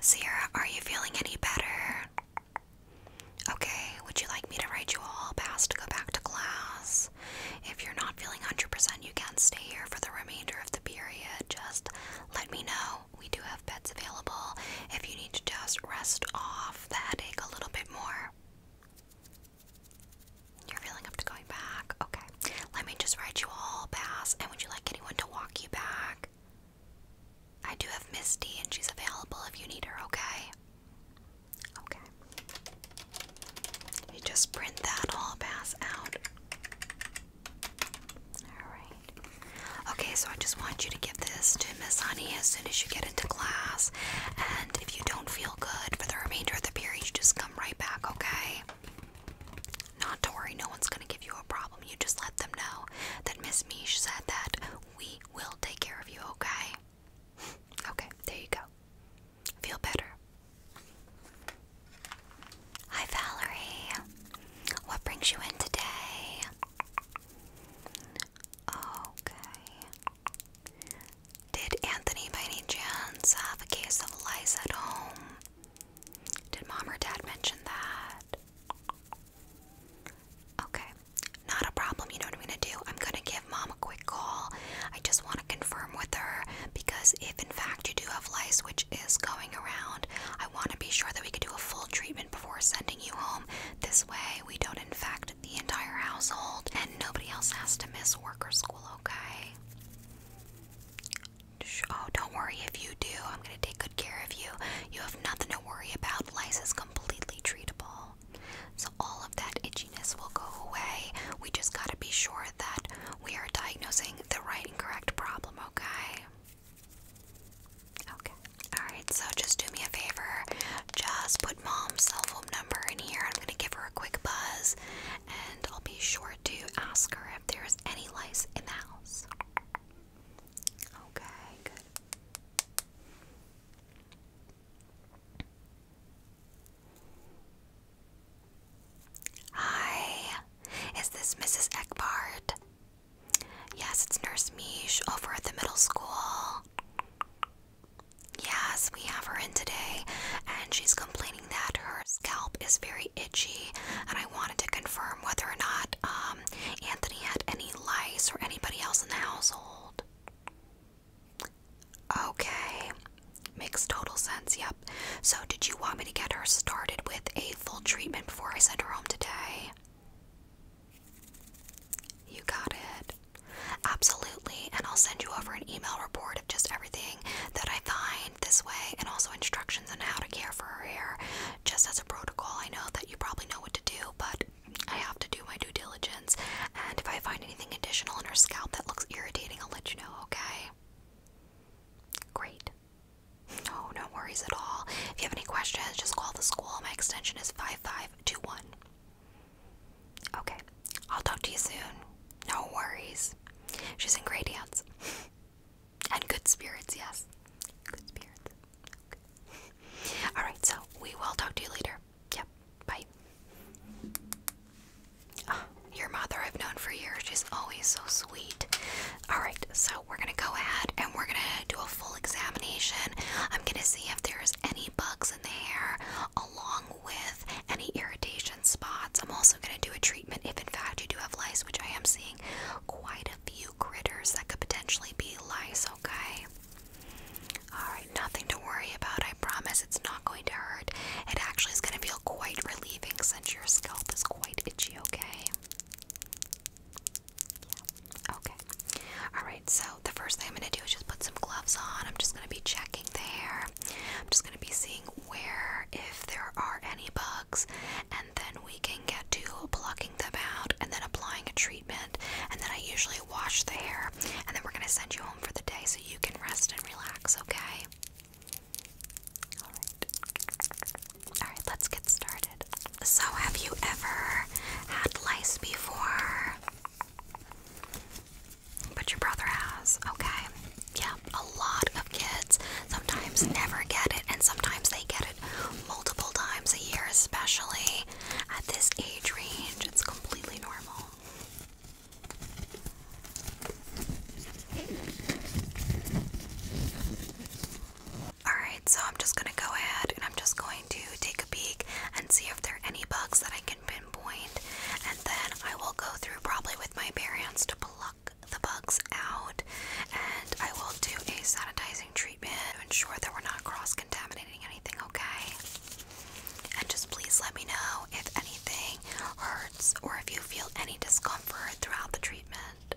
Sierra, are you feeling any better? Okay, would you like me to write you a hall pass to go back to class? If you're not feeling 100%, you can stay here for the remainder of the period. Just let me know. We do have beds available if you need to just rest off the headache a little bit more. You're feeling up to going back? Okay. Let me just write you all pass. And would you like anyone to walk you back? I do have Misty, and she's available if you need her, okay? Okay. You just print that all pass out. Alright. Okay, so I just want you to give this to Miss Honey as soon as you get into class. And if you don't feel good for the remainder of the period, you just come right back, okay? Not to worry, no one's gonna give you a problem. You just let them know that Miss Mish said that we will take care of you, okay? okay, there you go. Feel better. Hi, Valerie. What brings you in today? Okay. Did Anthony by any chance have a case of lice at home? Did mom or dad mention that? Okay, not a problem. You know what I'm gonna do? I'm gonna give mom a quick call. I just want to confirm with her because if in fact you do have lice, which is going around, I want to be sure that we can do a full treatment before sending you home. This way, we don't infect the entire household and nobody else has to miss work or school, okay? Oh, don't worry if you do. I'm going to take good care of you. You have nothing to worry about. Lice is completely treatable. So, all of that itchiness will go away. We just got to be sure that we are diagnosing the right and correct problem, okay? Okay. Alright, so just do me a favor. Just put mom's cell phone number in here. I'm going to give her a quick buzz and I'll be sure to ask her if there's any lice in the house. Okay, good. Hi, is this Mrs. Eckbart? Yes, it's Nurse Mish over at the middle school. Yes, we have her in today, and she's complaining that her scalp is very itchy, and I want to confirm whether or not um, Anthony had any lice or anybody else in the household. Okay, makes total sense, yep. So, did you want me to get her started with a full treatment before I send her home today? You got it. Absolutely, and I'll send you over an email report of just everything that I find this way and also instructions on how to care for her hair just as a protocol. I know that you probably know what to do, but I have to do my due diligence. And if I find anything additional in her scalp that looks irritating, I'll let you know, okay? Great. No, no worries at all. If you have any questions, just call the school. My extension is 5521. Okay, I'll talk to you soon. No worries. She's in great And good spirits, yes. Good spirits. Alright, so we will talk to you later. Yep, bye. Ah, your mother I've known for years. She's always so sweet. Alright, so we're gonna go ahead and we're gonna do a full examination. I'm gonna see if there's any bugs in the hair along with any irritation spots. I'm also gonna do a treatment if in fact you do have lice, which I am seeing quite few critters that could potentially be lice, okay? Alright, nothing to worry about. I promise it's not going to hurt. It actually is going to feel quite relieving since your scalp is quite itchy, okay? okay. Alright, so the first thing I'm going to do is just put some gloves on. I'm just going to be checking the hair. I'm just going to be seeing where, if there are any bugs, and then we can get to plucking them out and then applying a treatment. And then I usually wash the hair, and then we're going to send you home for the day so you can rest and relax, okay? Alright. Alright, let's get started. So, have you ever had lice before? But your brother has, okay? Yeah, a lot of kids sometimes never get it, and sometimes they get it multiple times a year, especially at this age range. It's completely normal. Alright, so I'm just gonna go ahead and I'm just going to take a peek and see if there are any bugs that I can pinpoint, and then I will go through probably with my bare hands to pluck the bugs out, and I will do a sanitizing treatment to ensure that we're not cross contaminating anything, okay? And just please let me know if anything hurts or if you feel any discomfort throughout the treatment.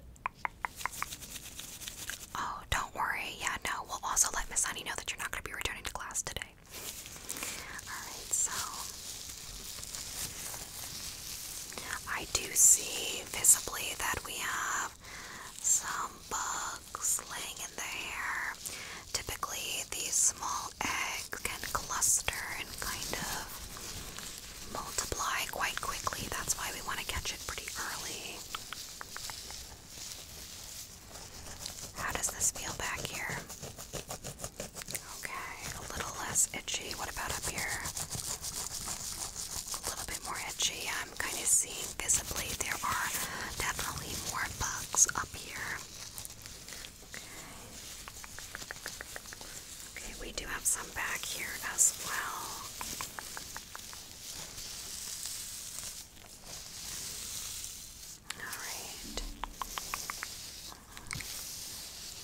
Oh, don't worry. Yeah, no, we'll also let Miss Honey know that you're not going to be returning to class today. Alright, so I do see visibly that we have some bugs laying in the air. Typically, these small eggs can cluster and kind of multiply quite quickly. That's why we want to catch it pretty early. How does this feel back here? Okay, a little less itchy. What about up here? a little bit more edgy. I'm kind of seeing visibly there are definitely more bugs up here. Okay, we do have some back here as well. All right.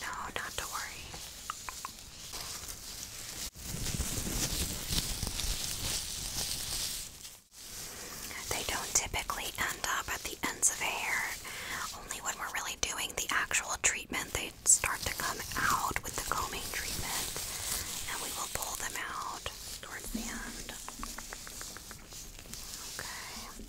No, not to worry. They don't typically end up at the ends of hair. Only when we're really doing the actual treatment, they start to come out with the combing treatment, and we will pull them out towards the end. Okay.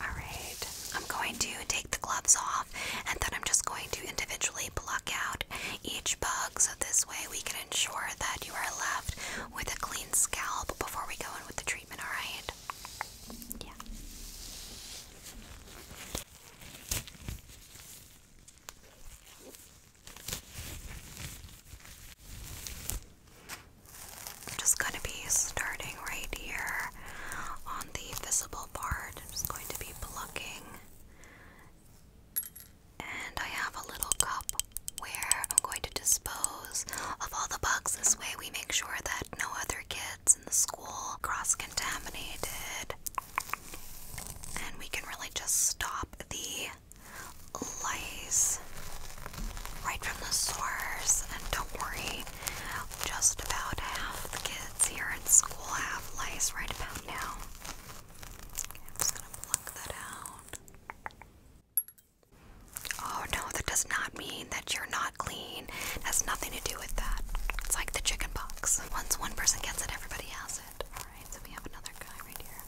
Alright, I'm going to take the gloves off and then I'm just going to individually pluck out each bug so this way we can ensure that you are left with a clean scalp before we go in with the treatment, alright? Yeah. I'm just going to be starting right here on the visible part. I'm just going to be plucking. And I have a little cup where I'm going to dispose of all the bugs. This way, we make sure that no other kids in the school cross contaminated. And we can really just stop the lice right from the source. And don't worry, just about half the kids here in school have lice right about now. I'm just gonna pluck that out. Oh no, that does not mean that you're not clean. It has nothing to do with that. It's like the chicken Once one person gets it, everybody has it. Alright, so we have another guy right here.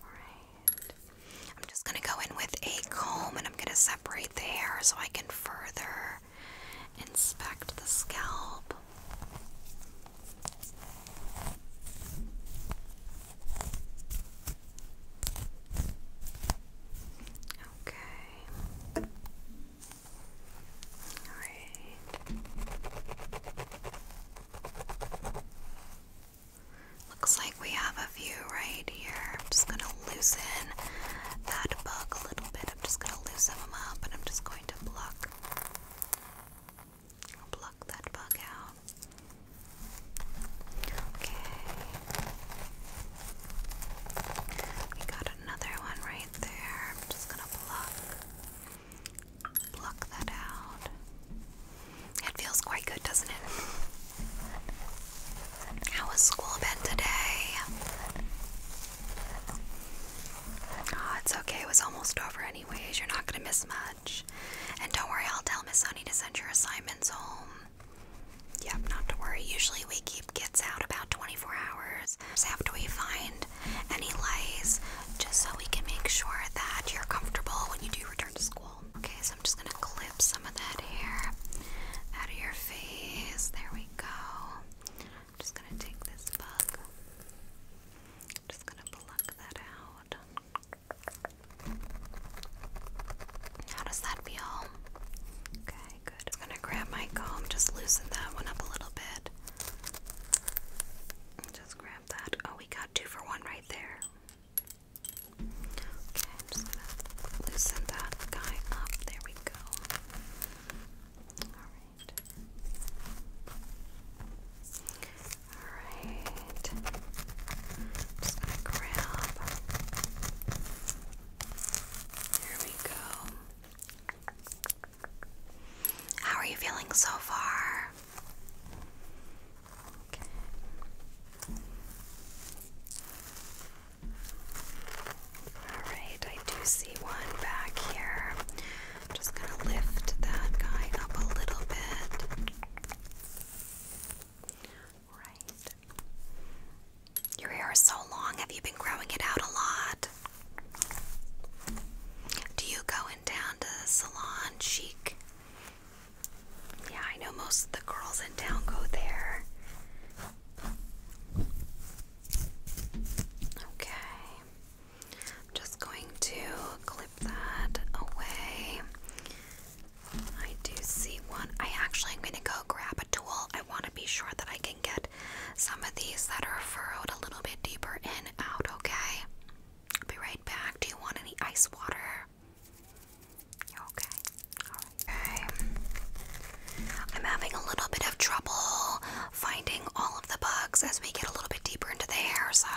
Alright. I'm just going to go in with a comb and I'm going to separate the hair so I can further inspect the scalp. Okay. All right. Looks like we have a view right here. I'm just gonna loosen that bug a little bit. I'm just gonna loosen them up and I'm just going to pluck. Pluck that bug out. Okay. We got another one right there. I'm just gonna pluck. Pluck that out. It feels quite good, doesn't it? How has school been today? Oh, it's okay. It was almost over, anyways. You're not gonna miss much. And don't worry, I'll tell Miss Honey to send your assignments home. Yep, not to worry. Usually we keep kids out about 24 hours after we find any lies, just so we can make sure that you're comfortable when you do return to school. Okay, so I'm just going to clip some of that hair out of your face. There we go. I'm just going to take this bug. just going to pluck that out. How does that feel? Okay, good. i going to grab my comb, just loosen that one up a little bit. Just grab that. Oh, we got two for one right there. Okay, I'm just gonna loosen that guy up. There we go. Alright. Alright. Just gonna grab. There we go. How are you feeling so far? Alright, I do see one back here. I'm just going to lift that guy up a little bit. Right. Your hair is so long. Have you been growing it out a lot? Do you go in down to the salon chic? Yeah, I know most of the girls in town go there. Okay. I'm just going to clip that away. I do see one. I actually i am going to go grab a tool. I want to be sure that I can get some of these that are furrowed a little bit deeper in out, okay? I'll be right back. Do you want any ice water? okay? Okay. I'm having a little bit of trouble finding all of the bugs as we get a little bit deeper into the hair, so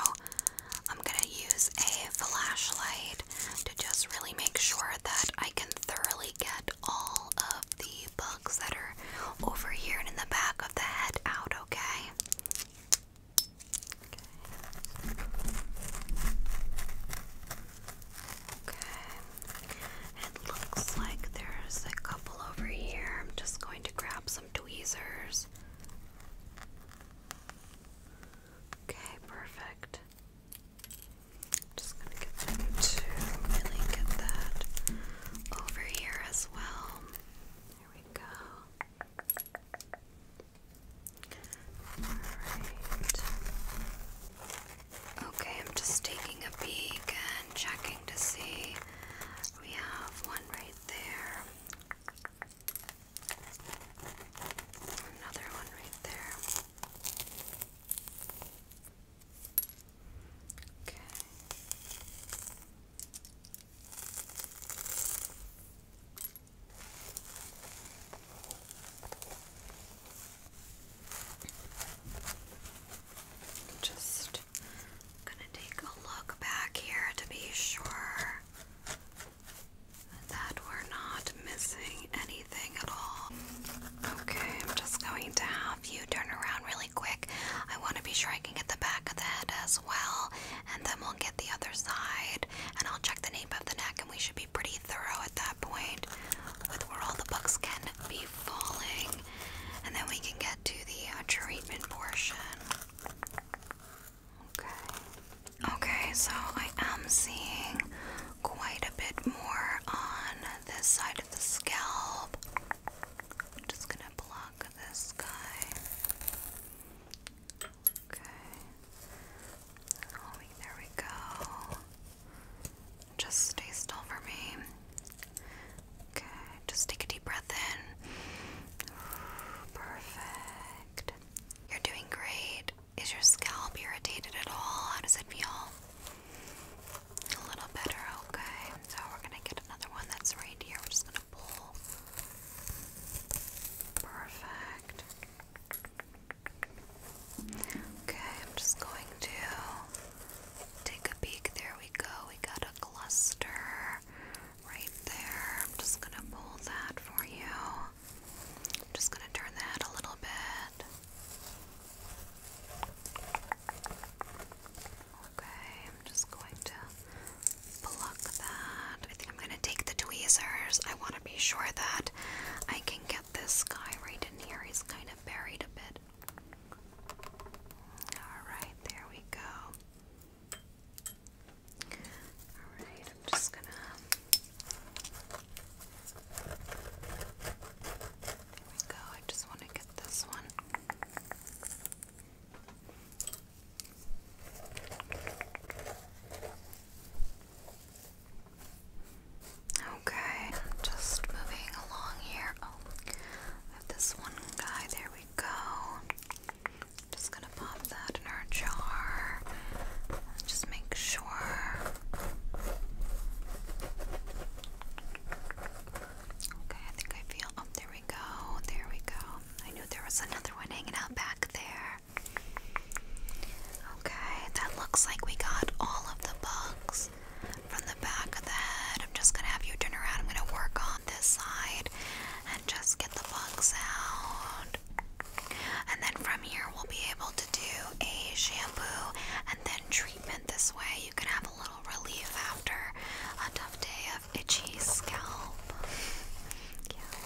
I'm gonna use a flashlight to just really make sure that I can thoroughly get all of the bugs that are over here and in the back of the head out, okay? Okay. It looks like there's a couple over here. I'm just going to grab some tweezers. Okay, perfect. Just gonna get them really get that over here as well. There we go. Okay, I'm just taking a peek and checking to see. We have one right there. Another one right there. Okay. Just gonna take a look back here to be sure that we're not missing anything at all. Okay, I'm just going to have you turn around really quick. I want to be sure I can get the back of the head as well, and then we'll get the other side, and I'll the nape of the neck, and we should be pretty thorough at that point where all the books can be falling, and then we can get to the uh, treatment portion. Okay. Okay, so I am seeing quite a bit more on this side of the scalp. I'm just gonna block this guy. Okay. there we go. Just stay still for me. Okay, just take a deep breath in. Perfect. You're doing great. Is your scalp irritated at all? How does it feel? A little better, okay. So we're gonna get another one that's right here. We're just gonna Perfect. Okay, I'm just going to take a peek. There we go. We got a cluster right there. I'm just going to pull that for you. I'm just going to turn that a little bit. Okay, I'm just going to pluck that. I think I'm going to take the tweezers. I want to be sure that I can get this guy right in here. He's kind of buried a bit. Alright, there we go. Alright, I'm just going to. There we go. I just want to get this one. Okay, just moving along here. Oh, have this one guy. There we go. Just gonna pop that in our jar. Just make sure. Okay, I think I feel. Oh, there we go. There we go. I knew there was another one hanging out back there. Okay, that looks like we got all of the bugs from the back of the head. I'm just gonna have you turn around. I'm gonna work on this side and just get the bugs out. And then from here, we'll be able to do a shampoo and then treatment this way. You can have a little relief after a tough day of itchy scalp. Yeah.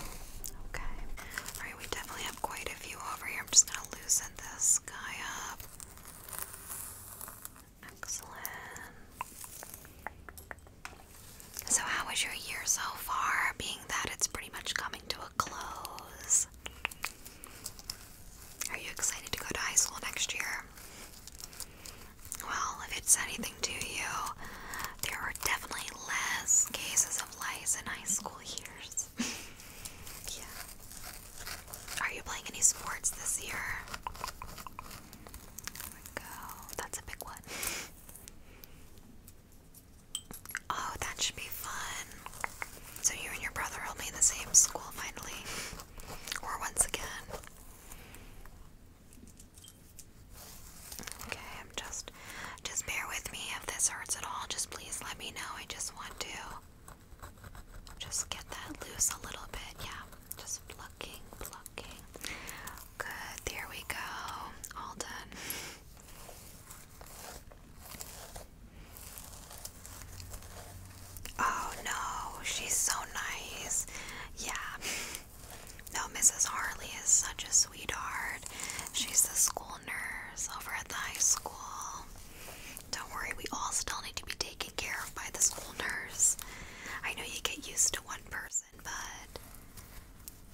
Okay. Alright, we definitely have quite a few over here. I'm just going to loosen this guy up. Excellent. So, how was your year so far? Being that it's pretty much coming to a close. Are you excited to go to high school next year? Well, if it's anything to you, there are definitely less cases of lice in high school years. yeah. Are you playing any sports this year? There we go. That's a big one. Oh, that should be fun. So you and your brother will be in the same school finally. Or once again. Okay, I'm just just bear with me if this hurts at all. Just please let me know. I just want to just get that loose a little bit. Yeah. Just plucking, plucking. Good. There we go. All done. Oh no, she's so nice. Yeah. No, Mrs. Harley is such a sweetheart. She's the school nurse over at the high school. Don't worry, we all still need to be taken care of by the school nurse. I know you get used to one person, but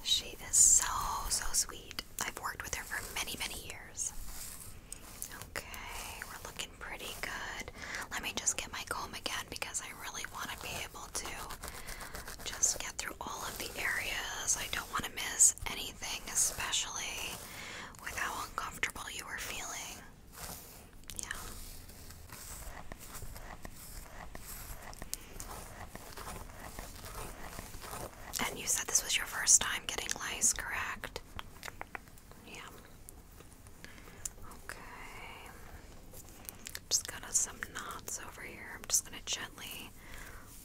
she is so, so sweet. I've worked with her for many, many years. Okay, we're looking pretty good. Let me just get my comb again because I really want to be to just get through all of the areas. I don't want to miss anything, especially with how uncomfortable you were feeling. Yeah. And you said this was your first time getting lice, correct? Yeah. Okay just got some knots over here. I'm just gonna gently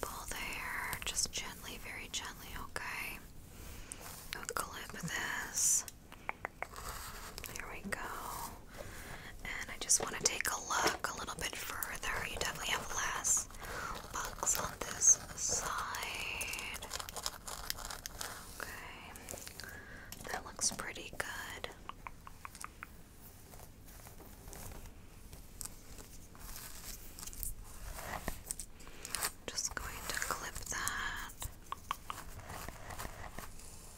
pull the hair, just gently, very gently, okay? clip this. There we go. And I just want to take a look a little bit further. You definitely have less bugs on this side. Okay. That looks pretty good. Just going to clip that.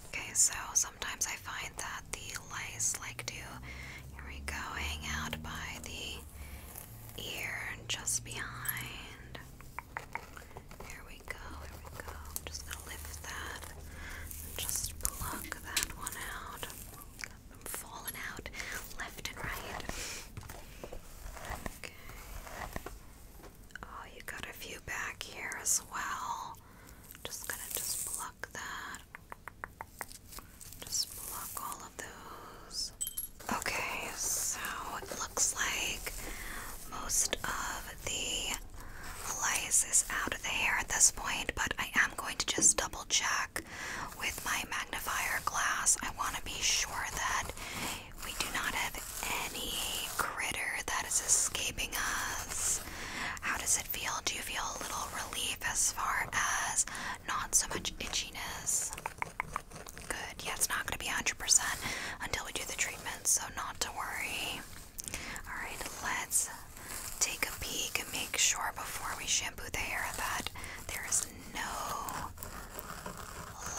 Okay, so sometimes I find that the lice like to, here we go, hang out by the ear and just behind. Here we go, here we go. just gonna lift that just pluck that one out. Got them falling out left and right. Okay. Oh, you got a few back here as well. Just gonna just pluck that. Just pluck all of those. Okay, so it looks like most of the is out of the hair at this point, but I am going to just double check with my magnifier glass. I want to be sure that we do not have any critter that is escaping us. How does it feel? Do you feel a little relief as far as not so much itchiness? Good. Yeah, it's not going to be 100% until we do the treatment, so not to worry. Alright, let's take a peek and make sure before we shampoo the hair that there is no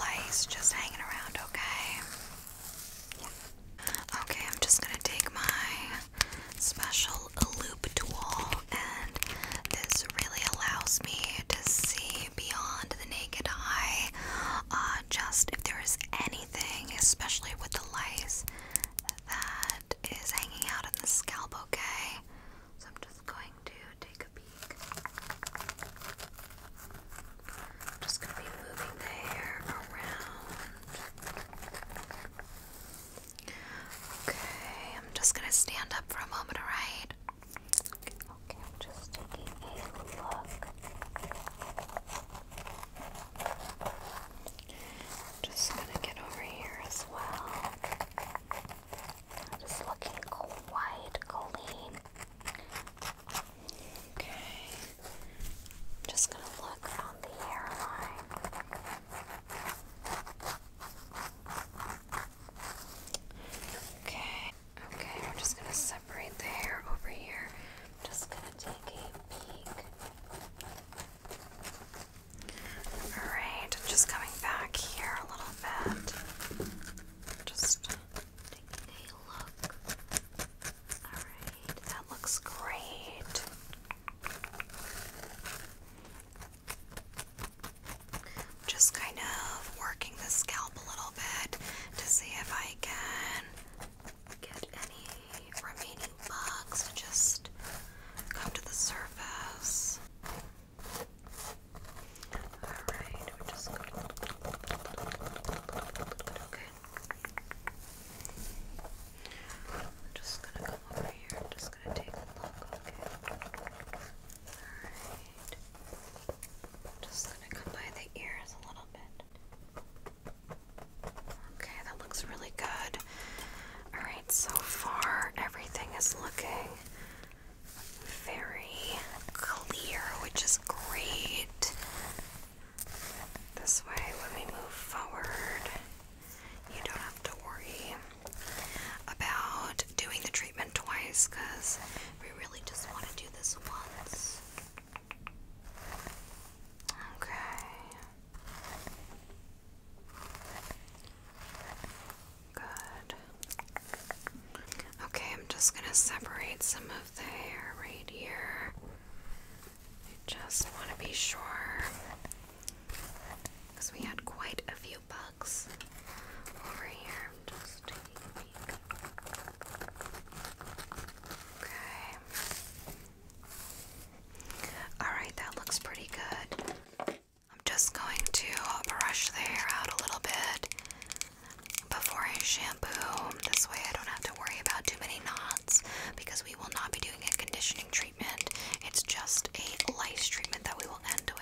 lice just hanging around, okay? Okay, I'm just gonna take my special loop tool, and this really allows me to see beyond the naked eye uh, just if there is anything, especially with the lice, that is hanging out in the scalp, okay? So I'm just going to take a peek. just going to be moving the hair around. Okay, I'm just going to stand up for a moment, alright? Okay, I'm just taking a look. Just gonna get over here as well. Just looking quite clean. Okay. Just gonna look on the hairline. Okay. Okay, we're just gonna separate the hair over here. I'm just gonna take a peek. Alright, just coming back here a little bit. Just taking a look. Alright, that looks great. Just kind of working the scalp a little bit to see if I can get any remaining bugs just come to the surface. Alright, we're just going to. Okay. just gonna come over here. just gonna take a look. Okay. Alright. Just gonna come by the ears a little bit. Okay, that looks really good. Alright, so far everything is looking very clear, which is great. This way, when we move forward, you don't have to worry about doing the treatment twice because we really just want to do this once. Okay. Good. Okay, I'm just going to separate some of the hair right here. I just want to be sure because we had quite a few bugs over here. Okay. Alright, that looks pretty good. I'm just going to brush the hair out a little bit before I shampoo. This way I don't have to worry about too many knots because we will not be doing a conditioning treatment. It's just a lice treatment that we will end with.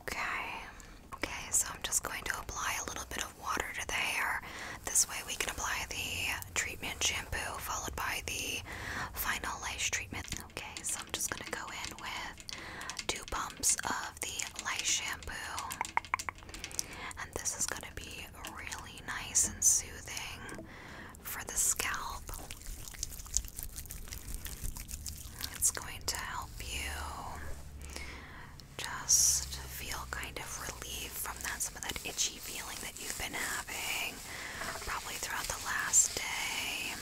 Okay. Okay, so I'm just going to apply a little bit of water to the hair. This way we can apply the treatment shampoo followed by the final lash treatment. Okay, so I'm just gonna go in with two pumps of the lash shampoo, and this is gonna be really nice and soothing for the scalp. It's going to help you just feel kind of relieved from that some of that itchy itchy feeling that you've been having probably throughout the last day.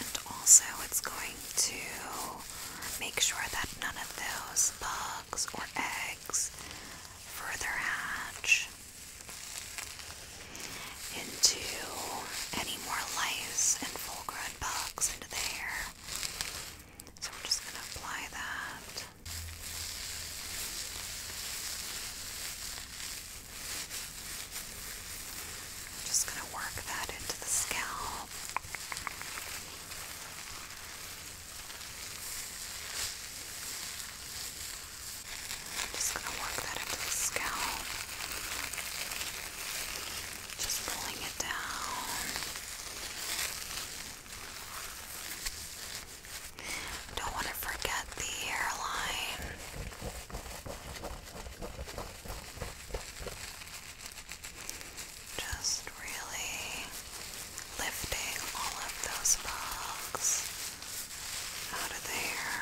And also, it's going to make sure that none of those bugs or eggs further hatch into any more lice and full grown bugs into the hair. So, we're just going to apply that just going to work that into the scalp. just going to work that into the scalp. Just pulling it down. Don't want to forget the airline. Just really lifting all of those bugs out of there.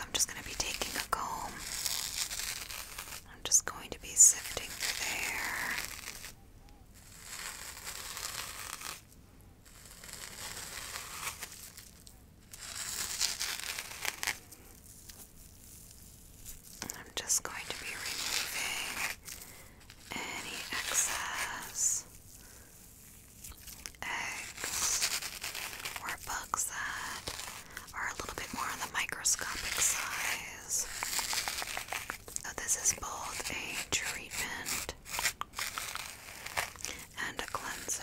I'm just going to be taking a comb. I'm just going to be sifting through there. I'm just going to be removing any excess eggs or bugs that are a little bit more on the microscopic size. So uh, this is both a treatment and a cleanser.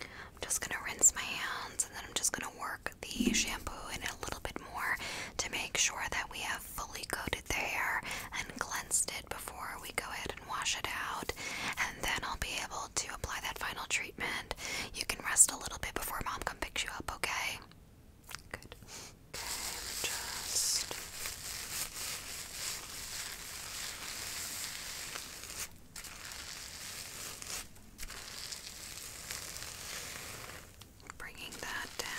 I'm just gonna rinse my hands and then I'm just gonna work the shampoo in a little bit more to make sure that we have fully coated the hair and cleansed it before we go ahead and wash it out. And then I'll be able to apply that final treatment. You can rest a little bit before mom comes picks you up, okay? Good. Okay, just Bringing that down.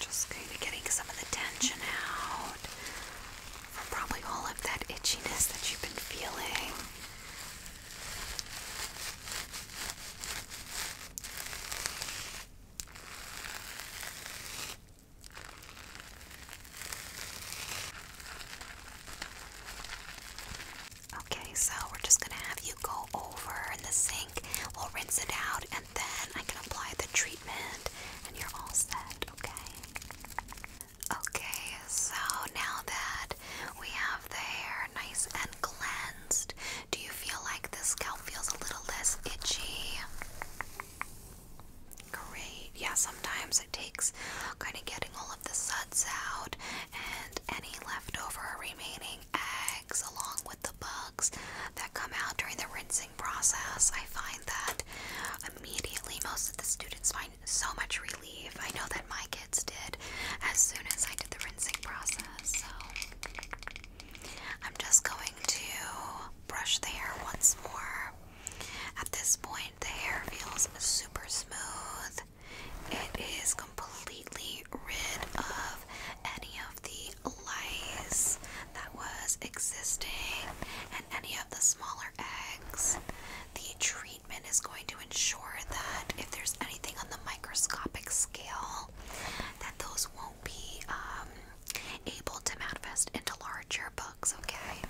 Just kind of getting some of the tension out from probably all of that itchiness that you've been feeling. Okay, so we're just gonna have you go over in the sink. We'll rinse it out and then I can apply the treatment and you're all set, okay? Okay, so now that we have the hair nice and cleansed, do you feel like the scalp feels a little less itchy? Great. Yeah, sometimes it takes kind of getting all of the suds out and any leftover remaining eggs along with the bugs that come out during the rinsing process. I find that immediately most of the students find so much relief. I know that my kids did as soon as I did the rinsing process. So I'm just going to brush the hair once more. At this point, the hair feels super smooth. It is completely rid of any of the lice that was existing and any of the smaller eggs. The treatment is going to ensure that if there's anything on the microscopic scale, that those won't be um, able to manifest into larger bugs, okay?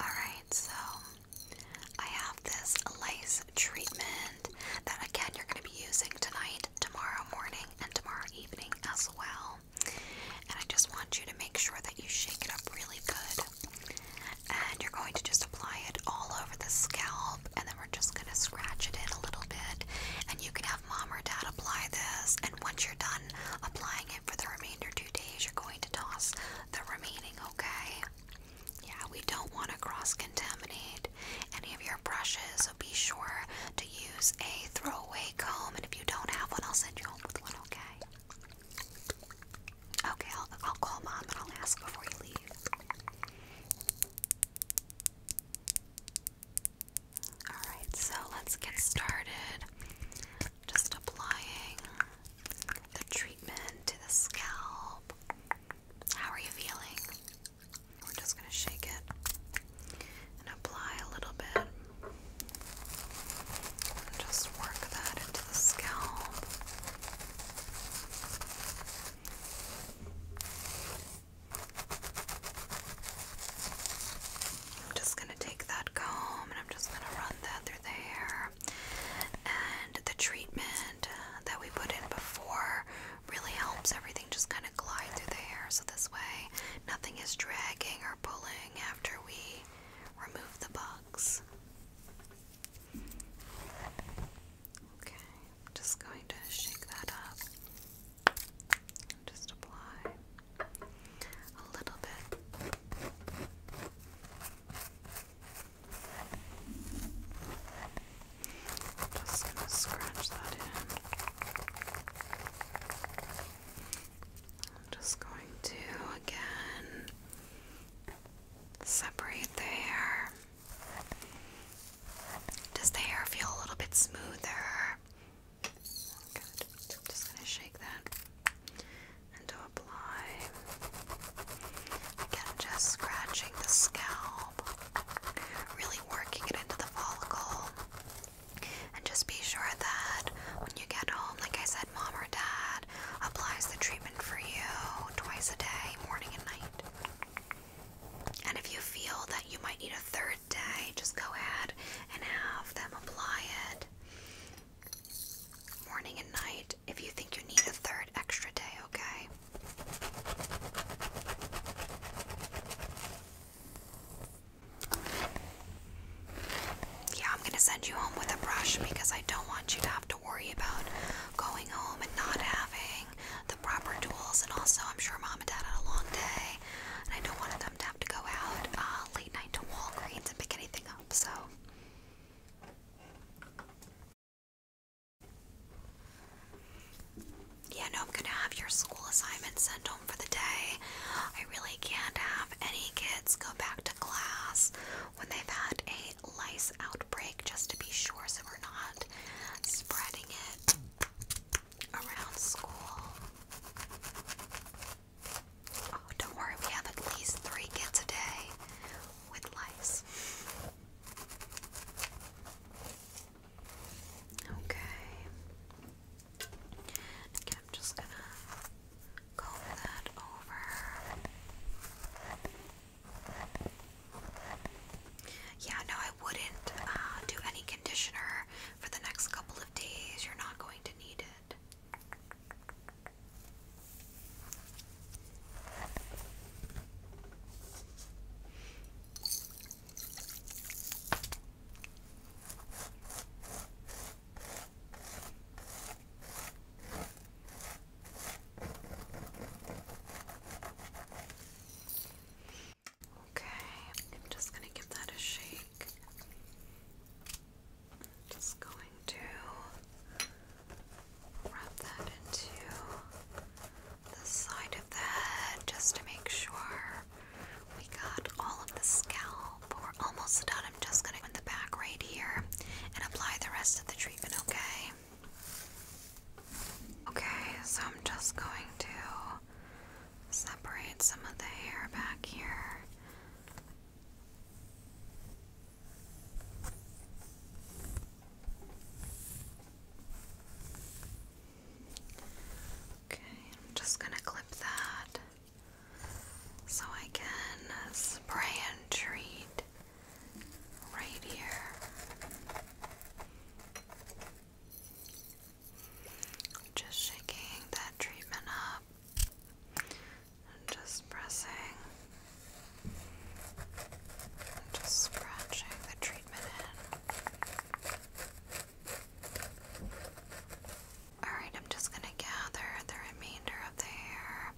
Alright, so I have this lace treatment that again you're going to be using tonight, tomorrow morning, and tomorrow evening as well. And I just want you to make sure that you shake it up really good. And you're going to just apply it all over the scalp, and then we're just going to scratch it in a little bit. And you can have mom or dad apply this. And once you're done applying it for the remainder two days, you're going to toss the remaining, okay? Yeah, we don't want to cross contaminate any of your brushes be sure to use a throwaway comb, and if you don't have one, I'll send you home with one, okay? Okay, I'll call mom and I'll ask before you leave. Alright, so let's get started. Just applying the treatment to the scalp. How are you feeling? We're just going to shake it and apply a little bit. And just work that into the scalp. I'm just going to take that comb and I'm just going to run that through the hair. And the treatment that we put in before really helps everything just kind of glide through the hair so this way nothing is dragging or pulling after we remove the bugs. Okay, just going to shake that up. Just apply a little bit. Just gonna scratch that in. I'm just going to again separate the hair. Does the hair feel a little bit smoother? Good. just gonna shake that and to apply. Again, just scratching the scalp really working it into the follicle. And just be sure that when you get home, like I said, mom or dad applies the treatment for you twice a day, morning and night. And if you feel that you might need a third day, just go ahead and have them apply it morning and night if you think you need a third extra day, okay? Yeah, I'm gonna send you home with a brush because I don't want you to have to worry about going home and not having the proper tools. And also, I'm sure mom and dad had a long day, and I don't want them to have to go out uh, late night to Walgreens and pick anything up. So. Yeah, no, I'm gonna have your school assignment sent home for the day. I really can't have any kids go back to class when they've had a lice outbreak just to be sure so we're not spreading it around school. Oh, don't worry, we have at least three kids a day with lice. Okay. Okay, I'm just gonna comb that over. Yeah, no, I wouldn't uh, do any conditioner for the next couple of days. You're not going to need it. Okay, I'm just going to give that a shake. just going to wrap that into the side of the head just to make sure we got all of the scalp. We're almost done. I'm just going to go in the back right here and apply the rest of the treatment, okay? Okay, so I'm just going to separate some of the hair back here. Okay, I'm just going to clip that so I can spray and treat right here. Just shaking that treatment up and just pressing and just scratching the treatment in. Alright, I'm just going to gather the remainder of the hair.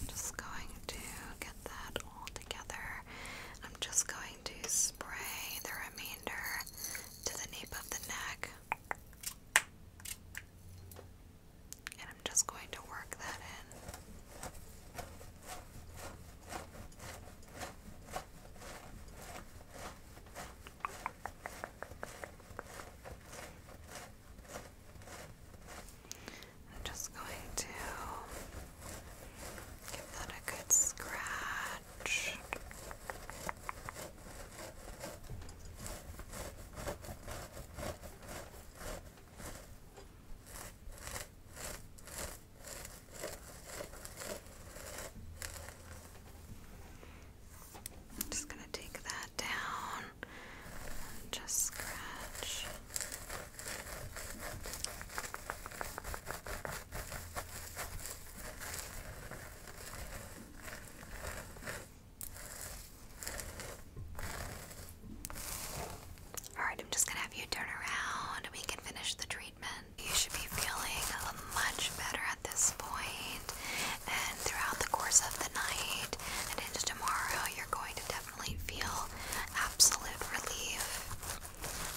I'm just going to get that all together. I'm just going to spray the remainder to the nape of the neck. And I'm just going to work that in. I'm just going to give that a good scratch. I'm just going to take that down just scratch. Alright, I'm just gonna have you turn around we can finish the treatment. You should be feeling uh, much better at this point, and throughout the course of the night and into tomorrow, you're going to definitely feel absolute relief.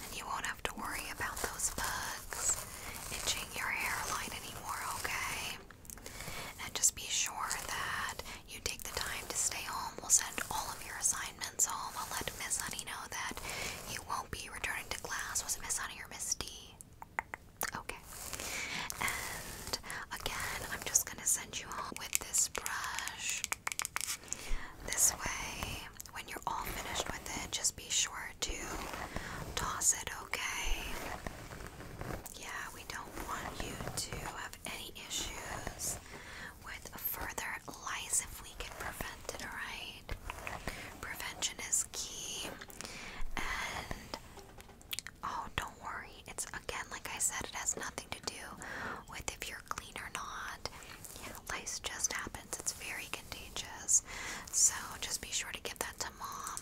And you won't have to worry about those bugs itching your hairline anymore, okay? And just be sure that you take the time to stay home. We'll send all of your assignments attendance I'll let Miss Honey know that you won't be returning to class. Was it Miss Honey or Miss D? Okay. And again, I'm just gonna send you home with this brush. This way, when you're all finished with it, just be sure to toss it, okay? Yeah, we don't want you to have any issues with further lies if we can prevent it, alright? Prevention is key. And oh, don't worry. It's again, like I said, it has nothing to do with if you're clean or not. lice just happens. It's very contagious. So just be sure to give that to mom.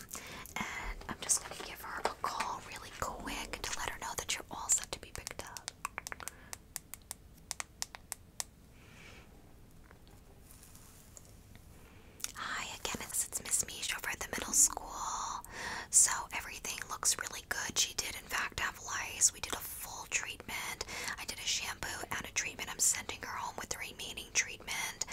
And I'm just going to give her a call really quick to let her know that you're all set to be picked up. Hi again, it's, Miss Mish over at the middle school. So everything looks really good. She did, in fact, have lice. We did a full treatment. I did a shampoo and a treatment. I'm sending her home with the remaining treatment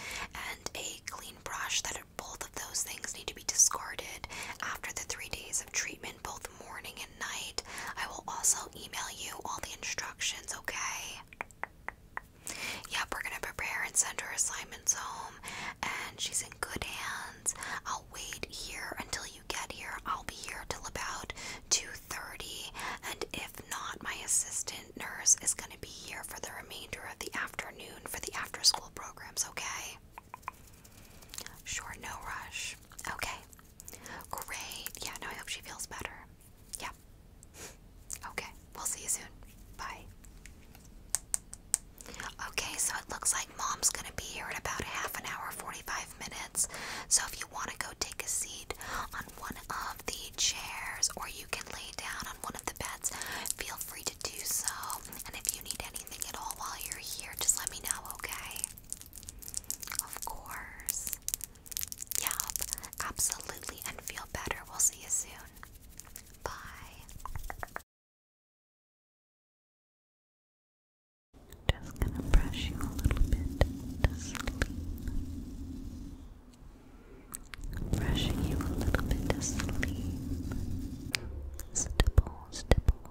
and a clean brush. That both of those things need to be discarded after the three days of treatment both morning and night. I will also email you all the instructions, okay? Yep, we're gonna prepare and send her assignments home, and she's in good hands. I'll wait here until you get here. I'll be here till about 2:30, and if not, my assistant nurse is gonna be here for the remainder of the afternoon for the after-school programs. Okay? Sure, no rush. Okay, Great. Yeah, no, I hope she feels better. Yeah. Okay, we'll see you soon. Bye. Okay, so it looks like mom's gonna be here in about half an hour, 45 minutes. So if you want to go take a seat on one of the chairs or you can lay down on one of the beds, feel free to do so. And if you need anything at all while you're here, just let me know, okay? Of course. Yup, absolutely. And feel better. We'll see you soon. Bye. Just gonna brush you a little bit to sleep. Brushing you a little bit to sleep. Stipple, stipple,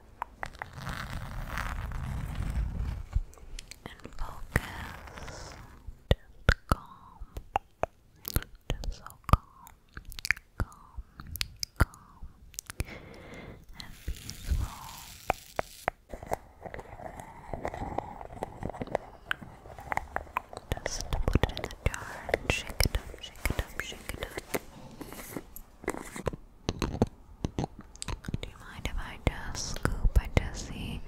and focus. Just calm. Just so calm. Calm. Calm. And peaceful. Just put it in the jar and shake it up, shake it up, shake it up. Do you mind if I just scoop? I just see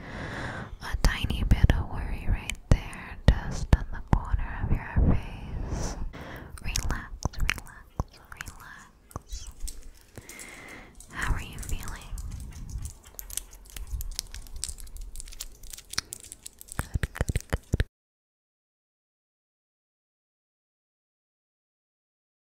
a tiny bit of worry right there, just on the corner of your face. Relax, relax, relax. How are you feeling? Good, good, good.